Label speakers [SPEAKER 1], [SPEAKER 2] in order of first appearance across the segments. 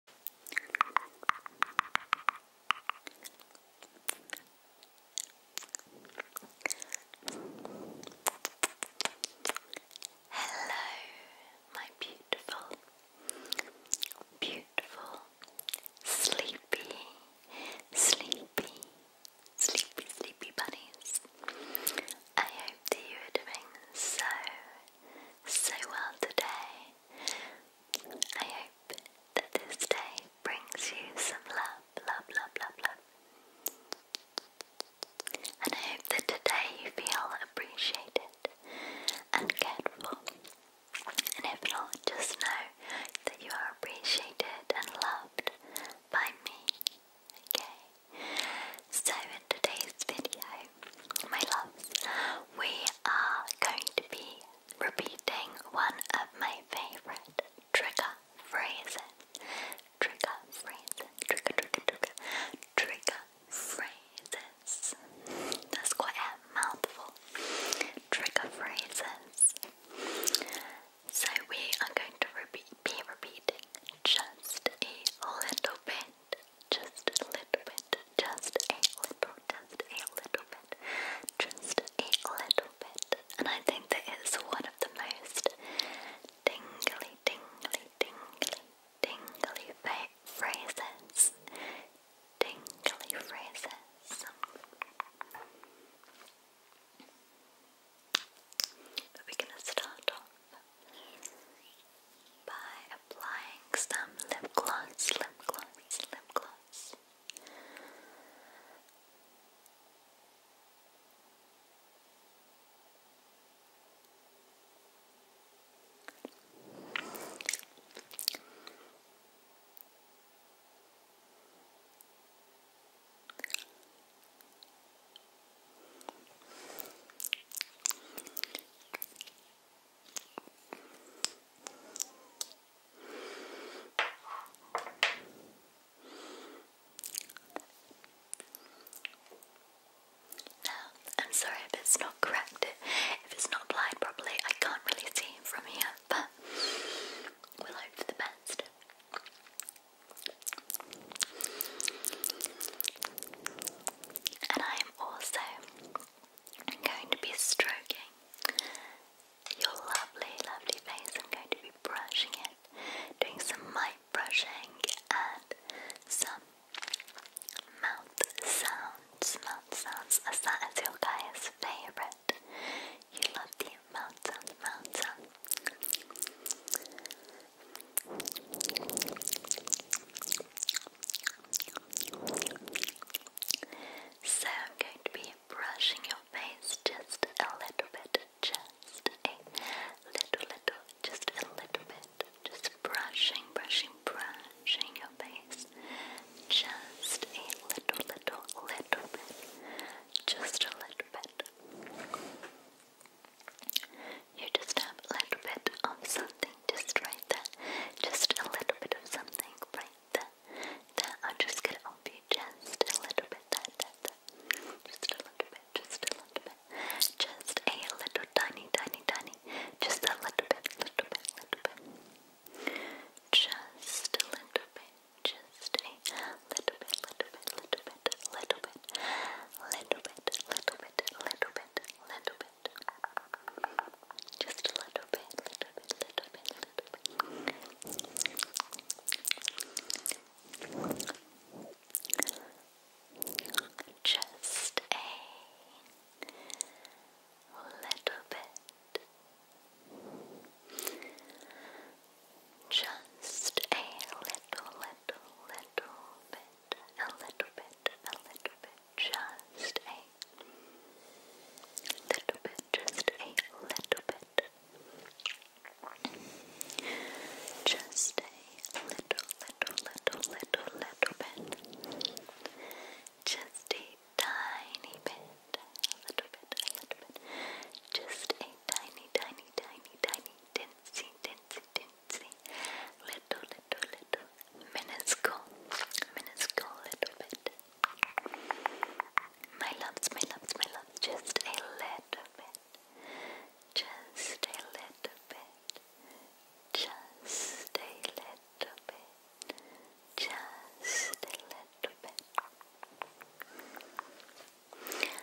[SPEAKER 1] Hello, my beautiful, beautiful, sleepy, sleepy, sleepy, sleepy bunnies. I hope you are doing so, so well today. I hope that this day brings you some love, love, love, love, love. And I hope that today you feel appreciated and cared for. And if not, just know that you are appreciated and loved by me. Okay? So, in today's video, my loves, we are going to be repeating one of my favorite trigger phrases. Trigger phrases. Trigger, trigger, trigger. Trigger phrases. That's quite a mouthful. Trigger phrases. So we are going to repeat, be repeating just a little bit just a little bit, just a little, just a little bit, just a little bit. And I think that it's one of the most tingly, tingly, tingly, tingly phrases. Tingly phrases. But we're gonna start off by applying some lip gloss, lip gloss, lip gloss. I'm sorry if it's not correct, if it's not applied properly, I can't really see it from here, but we'll hope for the best. And I am also, I'm going to be stroking your lovely, lovely face. I'm going to be brushing it, doing some mic brushing and some mouth sounds. Mouth sounds, as that is your guy's favourite. You love the mouth sounds, mouth sounds. So I'm going to be brushing your face just a little bit, just a little, little, just a little bit, just brushing, brushing, brushing your face, just a little, little, little bit, just a little bit. You just have a little bit of something just right there. Just a little bit of something right there. There, i just get it you just a little bit. There, there, there. Just a little bit, just a little bit. Just a little tiny, tiny, tiny. Just a little bit, little bit, little bit. Just a little bit, just a little bit, little bit, little bit, little bit, little bit, little bit, little bit. Just a little bit, little bit, little bit. Just a little bit. Just a little, little, little bit bit, a little bit, a little bit, just a little bit, just a little bit. Just a little, little, little, little, little bit. Just a tiny bit. A little bit, a little bit. Just a tiny, tiny, tiny, tiny, tinsy, tinsy, tinsy, teensy, little, little, little, minuscule, minuscule little bit. My loves, my loves, my loves, just a little bit, just a little bit, just a little bit, just a little bit.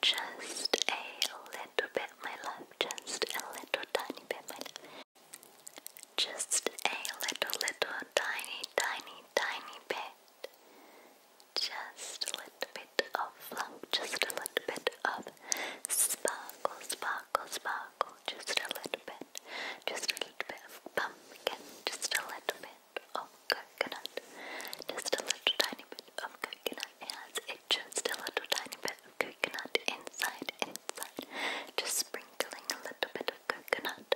[SPEAKER 1] just a little bit, my love. Just a little tiny bit, my love. Just a little, little, tiny, tiny, tiny bit. Just a little bit of flunk, just a little bit of sparkle, sparkle, sparkle. Just a little bit, just a little bit of pumpkin, just a little bit of coconut, just a little tiny bit of coconut as it just a little tiny bit of coconut inside, inside. Just sprinkling a little bit of coconut.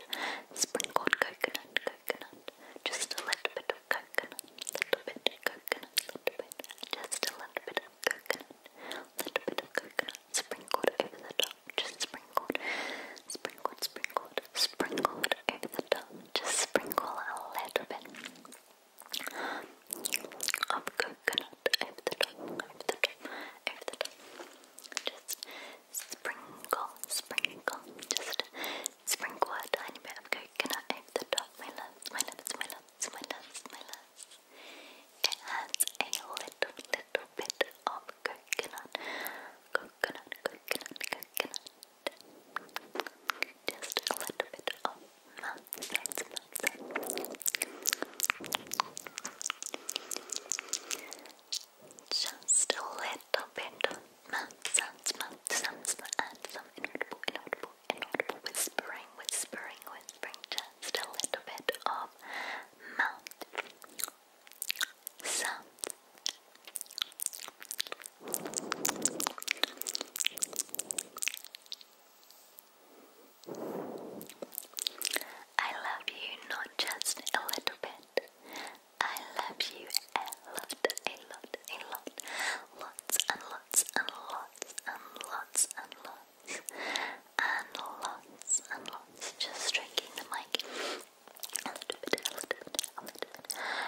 [SPEAKER 1] Sprinkled coconut, coconut. Just a little bit of coconut, little bit of coconut, little bit. Just a little bit of coconut, little bit of coconut. Sprinkled over the top, just sprinkled, sprinkled, sprinkled, sprinkled over the top. Just sprinkle a little bit of coconut over the top, over the top, over the top. Just sprinkle, sprinkle, just sprinkle a tiny bit of coconut over the top. My loves, my loves, my loves, my loves, my love. It a little, little bit of coconut, coconut, coconut, coconut. Just a little bit of nonsense, nonsense. Just a little bit of nonsense, inaudible, inaudible, inaudible whispering, whispering, whispering. Just a little bit of mouth sounds. I love you not just a little bit. I love you a lot, a lot, a lot. Lots and lots and lots and lots and lots. And lots and lots. Just striking the mic. A little bit, a little bit, a little bit.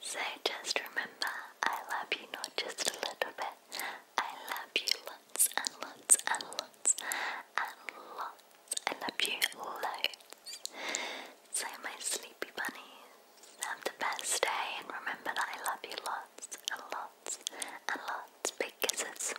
[SPEAKER 1] So just remember, I love you not just a little bit. I love you lots and lots and lots and lots. I love you loads. So my sleepy bunnies, have the best day and remember that I love you lots and lots and lots. Big kisses.